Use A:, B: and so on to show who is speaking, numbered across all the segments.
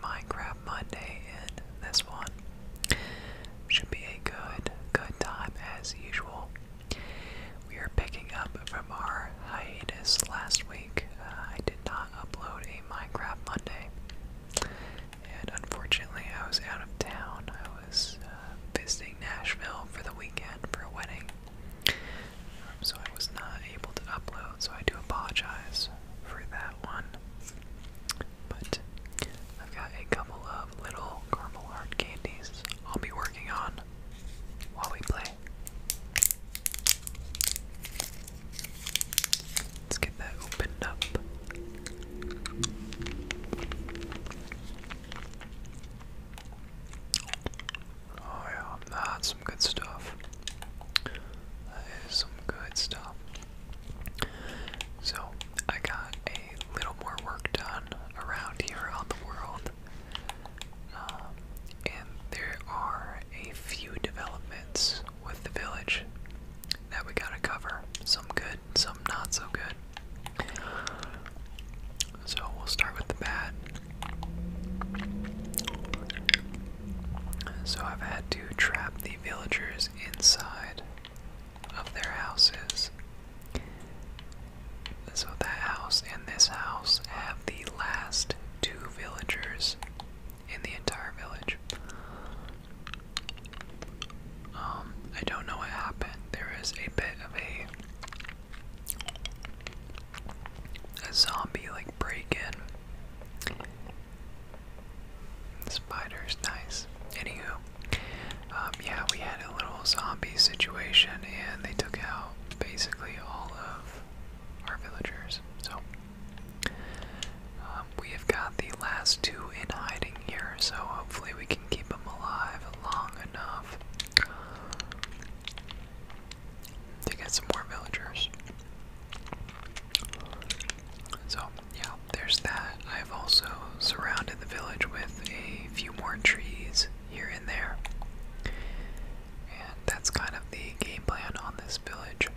A: Minecraft Monday, and this one should be a good, good time as usual. We are picking up from our hiatus last week. Uh, I did not upload a Minecraft Monday, and unfortunately, I was out of town. I was uh, visiting Nashville for the weekend for a wedding, um, so I was not able to upload. So I do apologize for that one. But I've got a couple of little caramel heart candies I'll be working on while we play. Let's get that opened up. Oh yeah, that's some good stuff. That is some good stuff. So, I got a little more work done around here on the world. Um, and there are a few developments with the village that we gotta cover. Some good, some not so good. So, we'll start with the bad. So, I've had to trap the villagers inside of their houses. So that house and this house have the last two villagers in the entire village. Um, I don't know what happened. There is a bit of a a zombie break in. spider's nice. Anywho, um, yeah, we had a little zombie situation and they took out basically all of our villagers. So, um, we have got the last two in hiding here, so hopefully we can keep them alive long enough to get some more villagers. So, yeah, there's that. I've also surrounded the village with a few more trees here and there. And that's kind of the game plan on this village.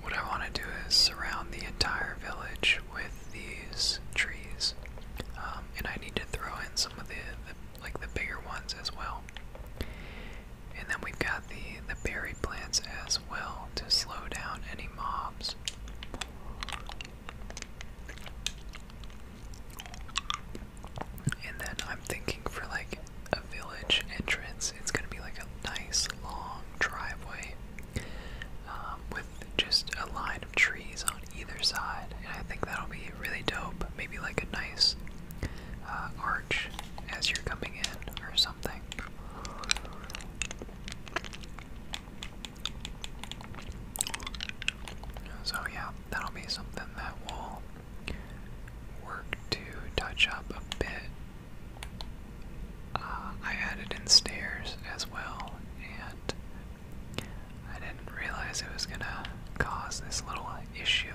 A: What I want to do is surround the entire village with these trees. Um, and I need to throw in some of the like the bigger ones as well. And then we've got the the berry plants as well to slow down any mobs. And then I'm thinking for like a village entrance, it's gonna be like a nice long driveway um, with just a line of trees on either side, and I think that'll be really dope. Maybe like a nice uh, arch as you're coming in or something. So, yeah, that'll be something that will work to touch up a bit. Uh, I added in stairs as well, and I didn't realize it was gonna cause this little issue.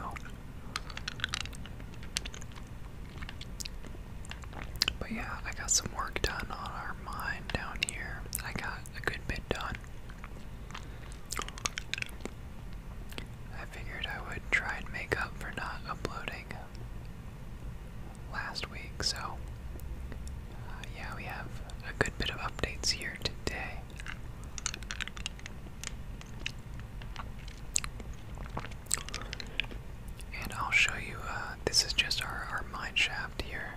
A: But yeah, I got some work done on our mine down here. I got a good bit done. I figured I would try and make up for not uploading last week, so uh, yeah, we have a good bit of updates here today. And I'll show you, uh, this is just our, our mine shaft here.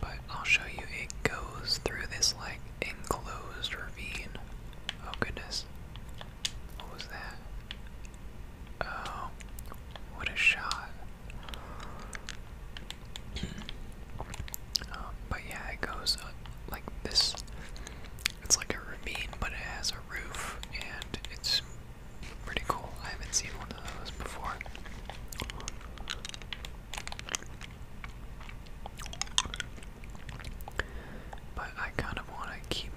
A: But I'll show you it goes through this like enclosed ravine. Oh goodness. What was that? Oh, what a shot. Um, but yeah, it goes uh, like this. It's like a ravine, but it has a roof, and it's pretty cool. I haven't seen one of those before. But I kind of want to keep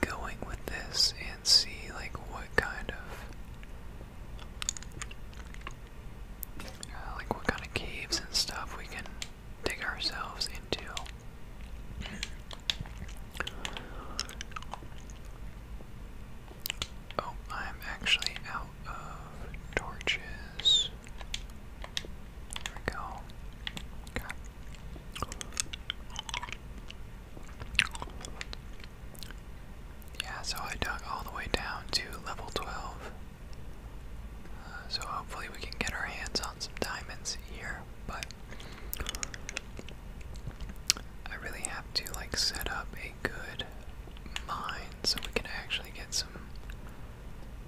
A: going with this and see like what kind of uh, like what kind of caves and stuff we can dig ourselves into. Oh, I'm actually out of torches. There we go. Yeah, so I dug all the way down to level 12. So hopefully we can get our hands on some diamonds here, but I really have to like set up a good mine so we can actually get some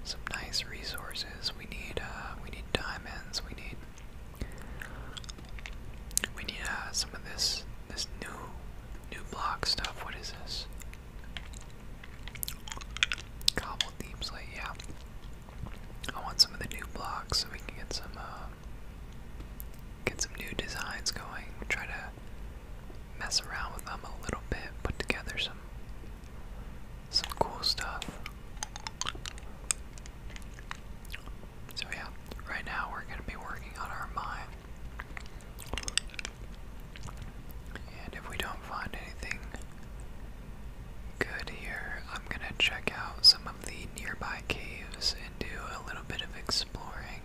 A: some nice resources. We need uh we need diamonds, we need we need uh, some of this this new new block stuff. What is this? Cobble Deep Slate, yeah. I want some of the new blocks so we can get some, uh, get some new designs going. Try to mess around with them a little bit, put together some, some cool stuff. So yeah, right now we're gonna be working on our mine. And if we don't find anything good here, I'm gonna check out some of the nearby caves and do a little bit of exploring.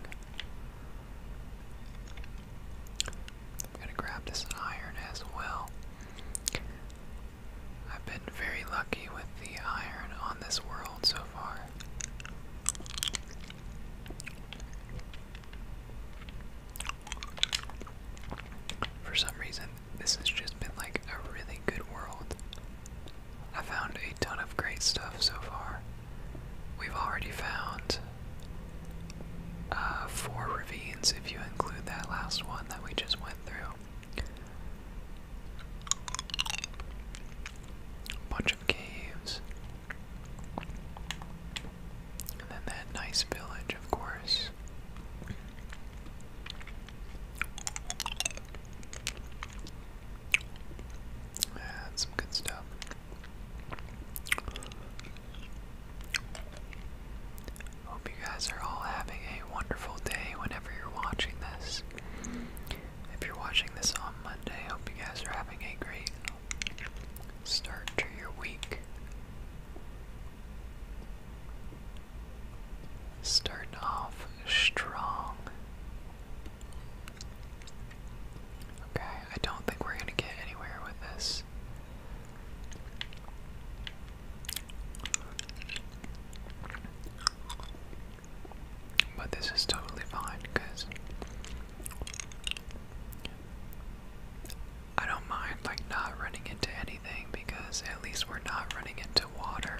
A: I'm gonna grab this iron as well. I've been very lucky with the iron on this world so far. For some reason, this has just been like a really good world. I found a ton of great stuff so far. We've already found uh, four ravines, if you include that last one that we just went through. A bunch of caves. And then that nice village, of course. And some good stuff. Hope you guys are all having a wonderful day whenever you're watching this. If you're watching this on Monday, hope you guys are having a great Start to your week. Start off strong. Okay, I don't think we're gonna get anywhere with this. But this is totally fine because I don't mind like not running into anything because at least we're not running into water.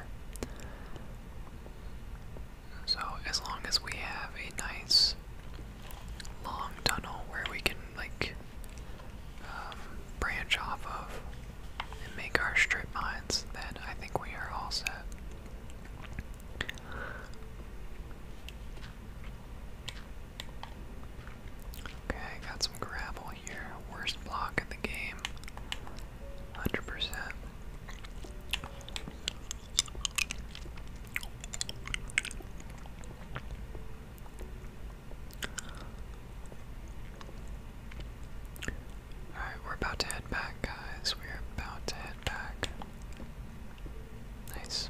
A: So as long as we have a nice long tunnel where we can like um, branch off of and make our strip mines, then I think we are all set. Okay, got some gravel here. Worst block of the game. 100%. Alright, we're about to head back, guys. We're about to head back. Nice.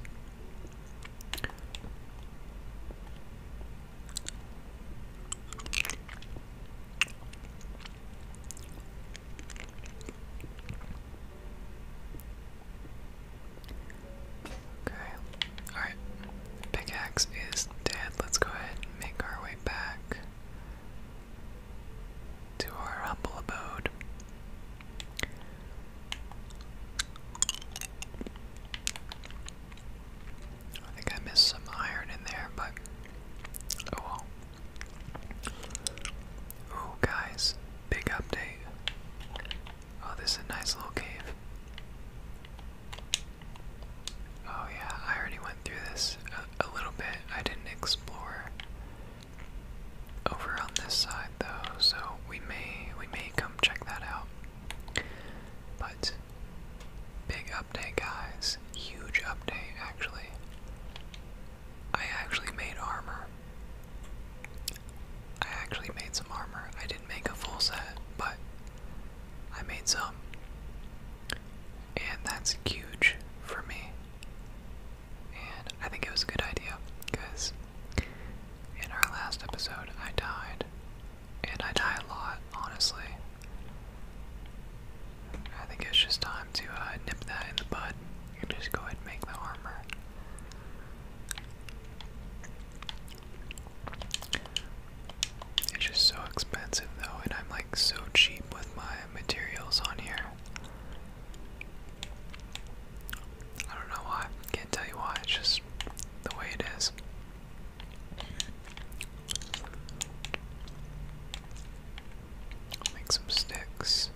A: Okay, alright. Pickaxe is dead. Let's go ahead and make our way back to our humble abode. I think I missed some iron in there, but oh well. Oh, guys, big update. Oh, this is a nice little cave. Oh, yeah, I already went through this a little bit. I didn't explore over on this side though, so we may we may come check that out. But big update guys, huge update actually. I actually made armor. I actually made some armor. I didn't make a full set, but I made some. And that's huge for me. And I think it was a good idea because in our last episode, I died. And I die a lot, honestly. I think it's just time to uh, nip that in the bud and just go ahead and make the armor. It's just so expensive though, and I'm like so cheap with my materials on here. I don't know why. Can't tell you why. It's just the way it make some sticks.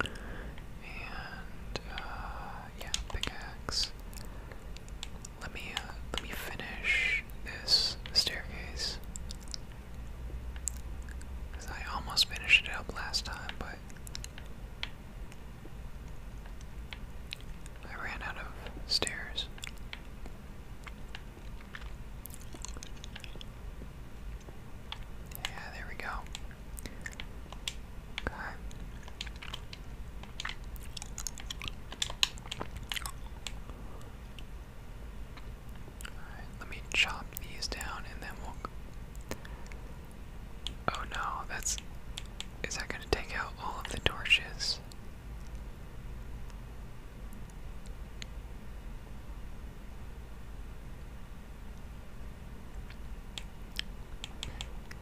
A: And uh, yeah, pickaxe. Let me uh, let me finish this staircase. Cause I almost finished it up last time, but I ran out of stairs. Yeah, there we go. Okay. Alright, let me chop these down and then we'll Oh no, that's. Is that gonna take out all of the torches?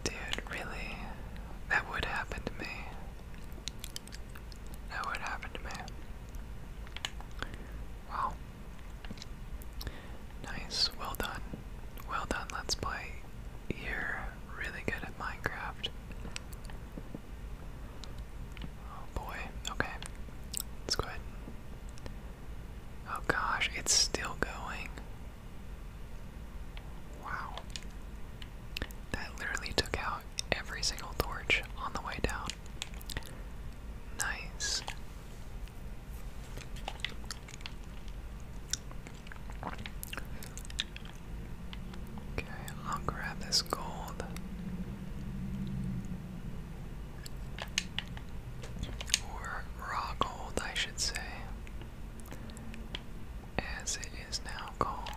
A: Dude, really? That would happen to me. That would happen to me. Wow. Nice, well done. Well done, let's play. You're really good at Minecraft. Oh boy, okay. Let's Oh gosh, it's still going. Wow. That literally took out every single torch on the way down. Nice. Okay, I'll grab this gold. Or raw gold, I should say. As it is now called.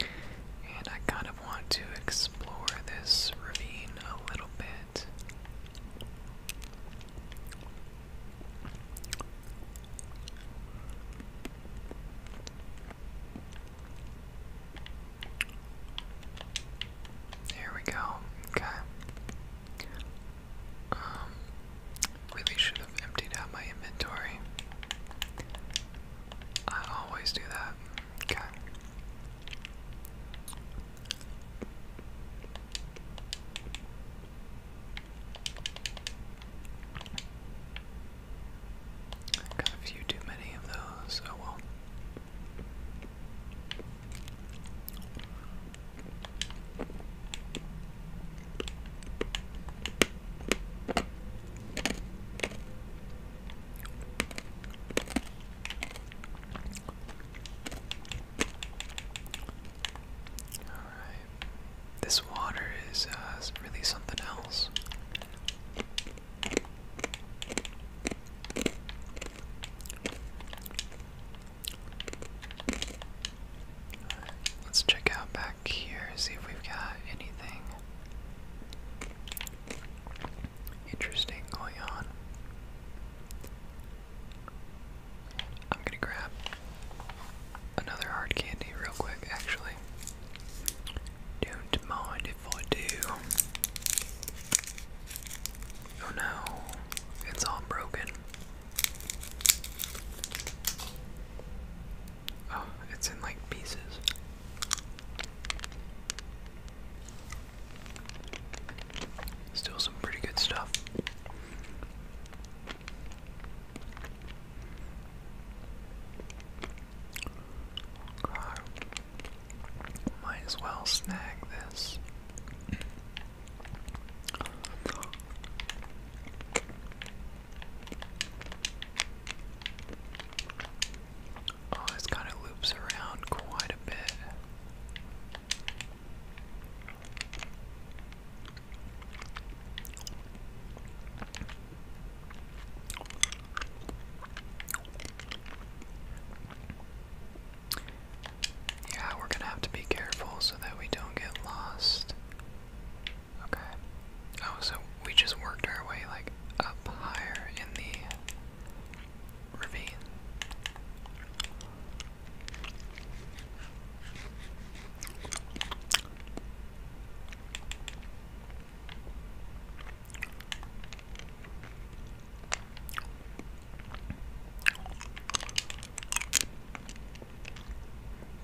A: And I kind of want to explore this ravine a little bit it. Here we go. Okay. Um, really should have emptied out my inventory. I always do that. Okay. Got a few too many of those, oh well. Alright. This water is uh, really something else. let's check out back here, see if we've got anything interesting going on. I'm gonna grab another hard candy real quick, actually. Don't mind if I do. Oh no, it's all broken. Oh, it's in like pieces. Still some pretty good stuff. God. Might as well snag this. Oh, this kind of loops around quite a bit. Yeah, we're gonna have to be careful so that we don't get lost. Okay. Oh, so we just worked our way like up higher in the ravine.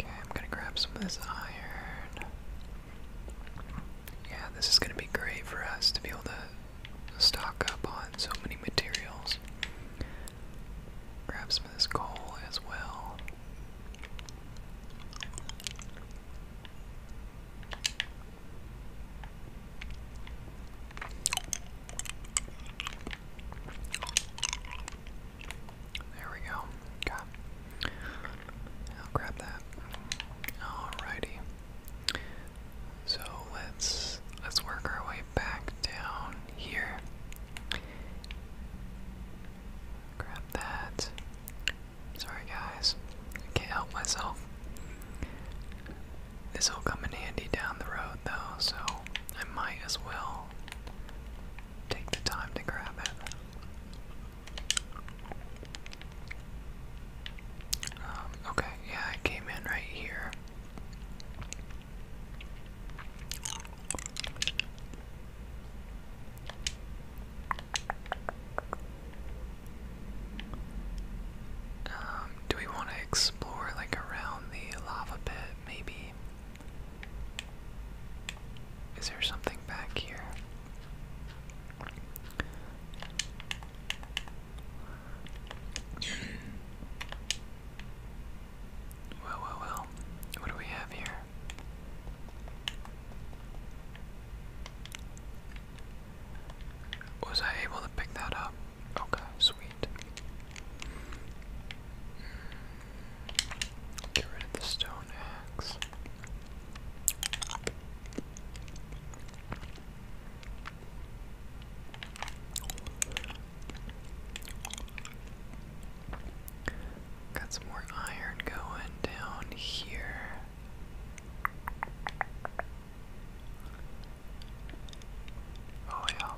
A: Okay, I'm gonna grab some of this iron. Yeah, this is gonna be great for us to be able to stock up on so many materials. Grab some of this coal as well. There we go. Got. I'll grab that. Alrighty. So let's let's work our way back down here. Grab that. Sorry, guys. can't help myself. This will come in handy down the road, though, so I might as well take the time to grab it. Um, okay, yeah, I came in right here. Um, do we want to explore like around the lava pit? Maybe. Is there something back here? Well, well, well. What do we have here? Was I able to pick that up? Okay, sweet. Hmm. Get rid of the stone axe. Got some more iron going down here. Oh, yeah.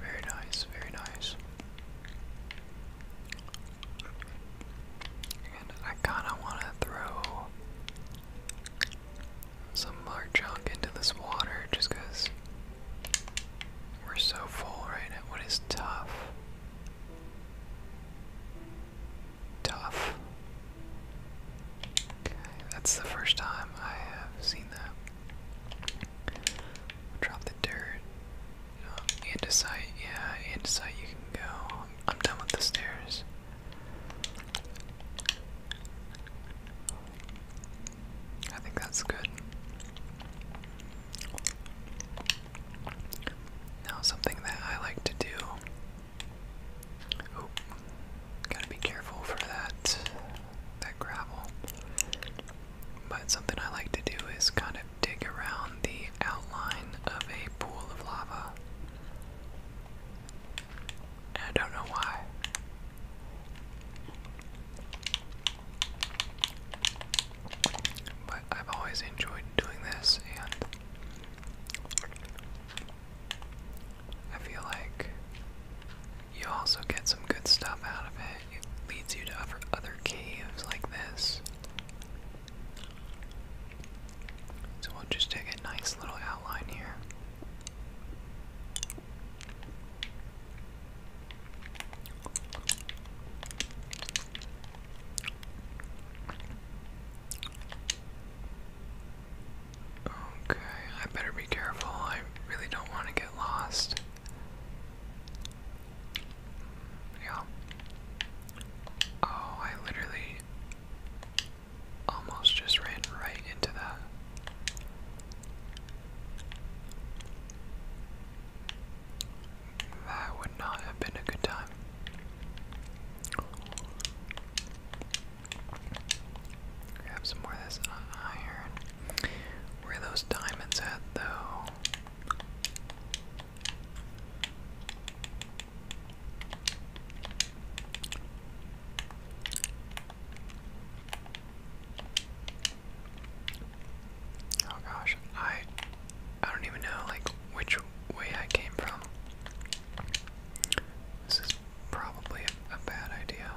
A: Very nice, very nice. And I kind of want to throw some of our junk into this water just because we're so full right now. What is tough? Tough. Okay, that's the first time I have seen that. Drop the dirt. Um, andesite, yeah, andesite, you can go. I'm done with the stairs. I think that's good. Now, something that I like to do. Oop. Gotta be careful for that, that gravel. But something I like to do is kind of dig around the outline of a pool of lava. I don't know why. But I've always enjoyed doing this, and I feel like you also get some good stuff out of it. It leads you to other caves like this. So we'll just take a nice little outline here. Okay, I better be careful. I really don't want to get lost. Yeah. Oh, I literally almost just ran right into that. That would not have been a good time. Grab some more of this iron. Where are those diamonds at, though? Oh gosh, I I don't even know like which way I came from. This is probably a, bad idea.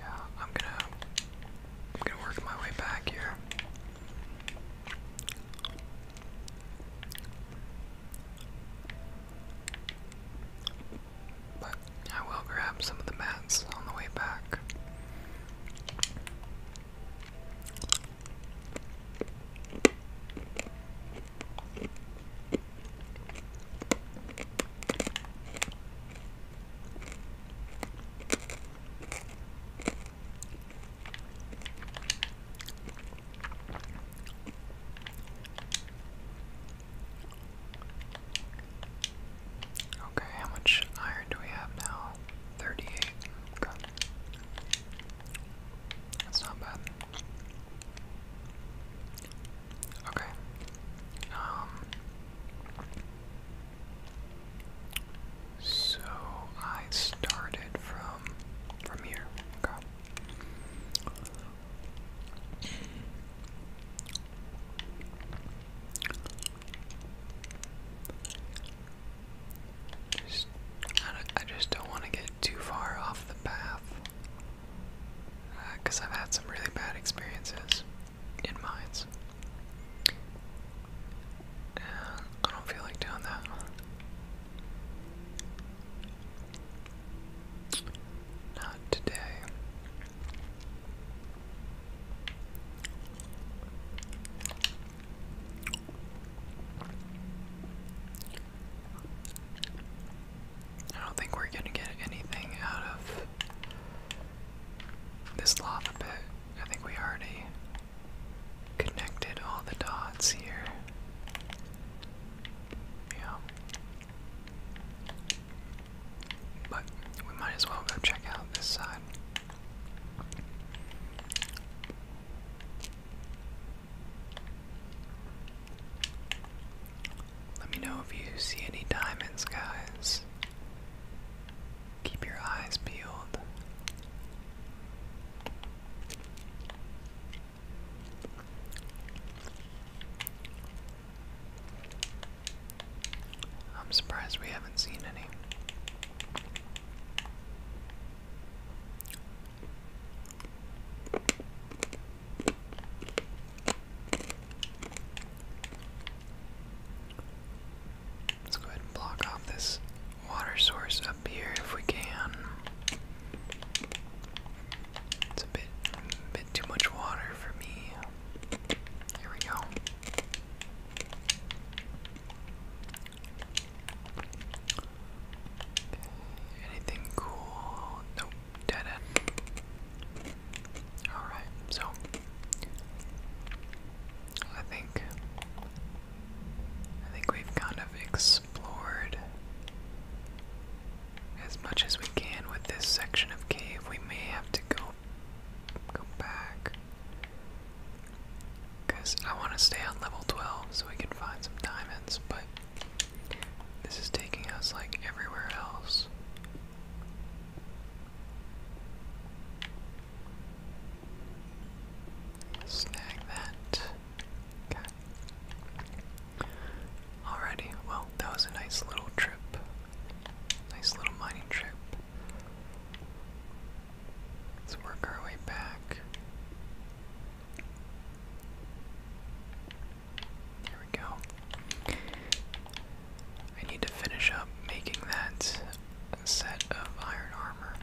A: Yeah, I'm gonna I'm gonna work my way back here. But I will grab some of the mats on the way back. Okay, how much iron do we have now? 38. Okay. That's not bad. Okay. Um So I started from from here. I, just don't want to get too far off the path. Because uh, I've had some really bad experiences in mines. And uh, I don't feel like doing that. Not today. I don't think we're gonna get anything out of this lava I think we already connected all the dots here. Yeah. But we might as well go check out this side. Let me know if you see any diamonds, guys. Keep your eyes peeled. I'm surprised we haven't seen any. Let's go ahead and block off this water source up here if we can. It's a bit, bit too much water for me. Here we go. Anything cool? Nope, dead end. Alright, so I think I think we've kind of explored explored as much as we can with this section of cave. We may have to go go back. Cause I want to stay on level 12 so we can find some diamonds, but this is taking us like everywhere else. Snag that. Okay. Alrighty, well, that was a nice little trip. Nice little mining trip. Let's work our way back. There we go. I need to finish up making that set of iron armor.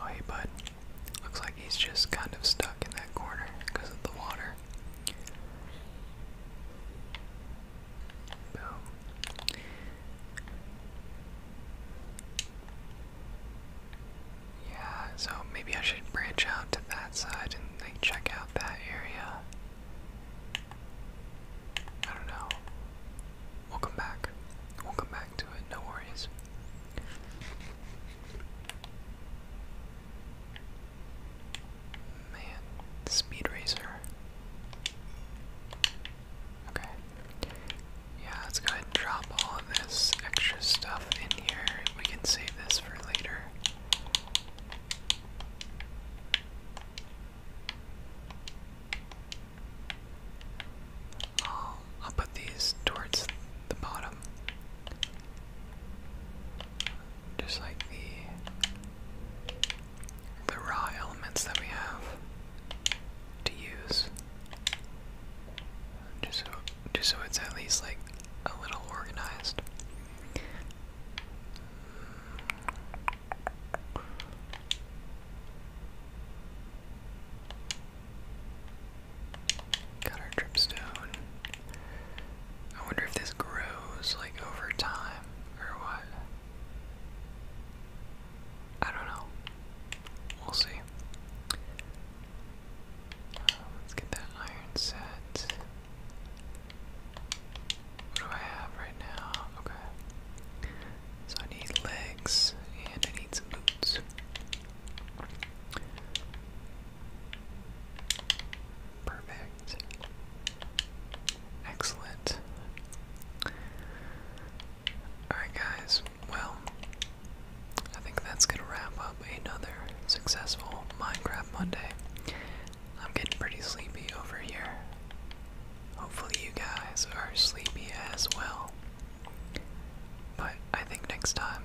A: Oh, hey, bud. Looks like he's just kind of stuck in that corner because of the water. Boom. Yeah, so maybe I should branch out to that side and like check out that area. I don't know. we back. we back to it, no worries. Man, Speed Racer. Okay. Yeah, let's go ahead and drop all of this extra stuff in here. We can save this for later. I'll, put these towards the bottom. Just like the the raw elements that we have to use. Just so, just so it's at least like a little organized. Got our dripstone. I wonder if this grows like over time or what. I don't know. We'll see. Uh, let's get that iron set. What do I have right now? Okay. So I need legs and I need some boots. Perfect. Excellent. Alright, guys, well, I think that's going to wrap up another successful Minecraft Monday. I'm getting pretty sleepy over here. Hopefully, you guys are sleepy as well. But I think next time,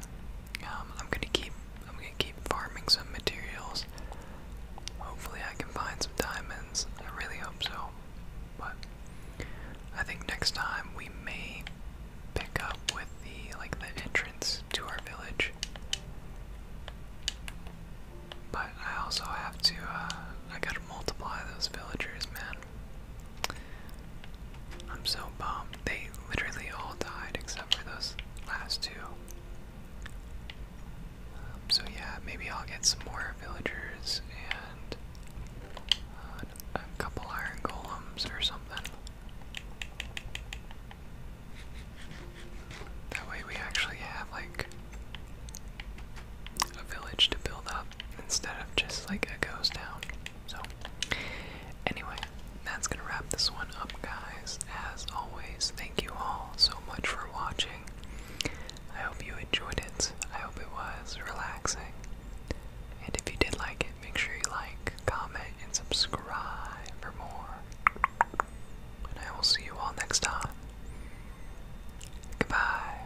A: um, I'm gonna keep I'm gonna keep farming some materials. Hopefully, I can find some diamonds. I really hope so. But I think next time we may pick up with the like the entrance to our village. But I also have to. Uh, I gotta multiply those villagers, man. I'm so bummed. They literally all died except for those last two. Um, so yeah, maybe I'll get some more villagers and uh, a couple iron golems or something. That way we actually have like a village to build up instead of just like a ghost town. So Anyway, that's gonna wrap this one up, guys. As always, thank you all so much for watching. I hope you enjoyed it. I hope it was relaxing. And if you did like it, make sure you like, comment, and subscribe for more. And I will see you all next time. Goodbye.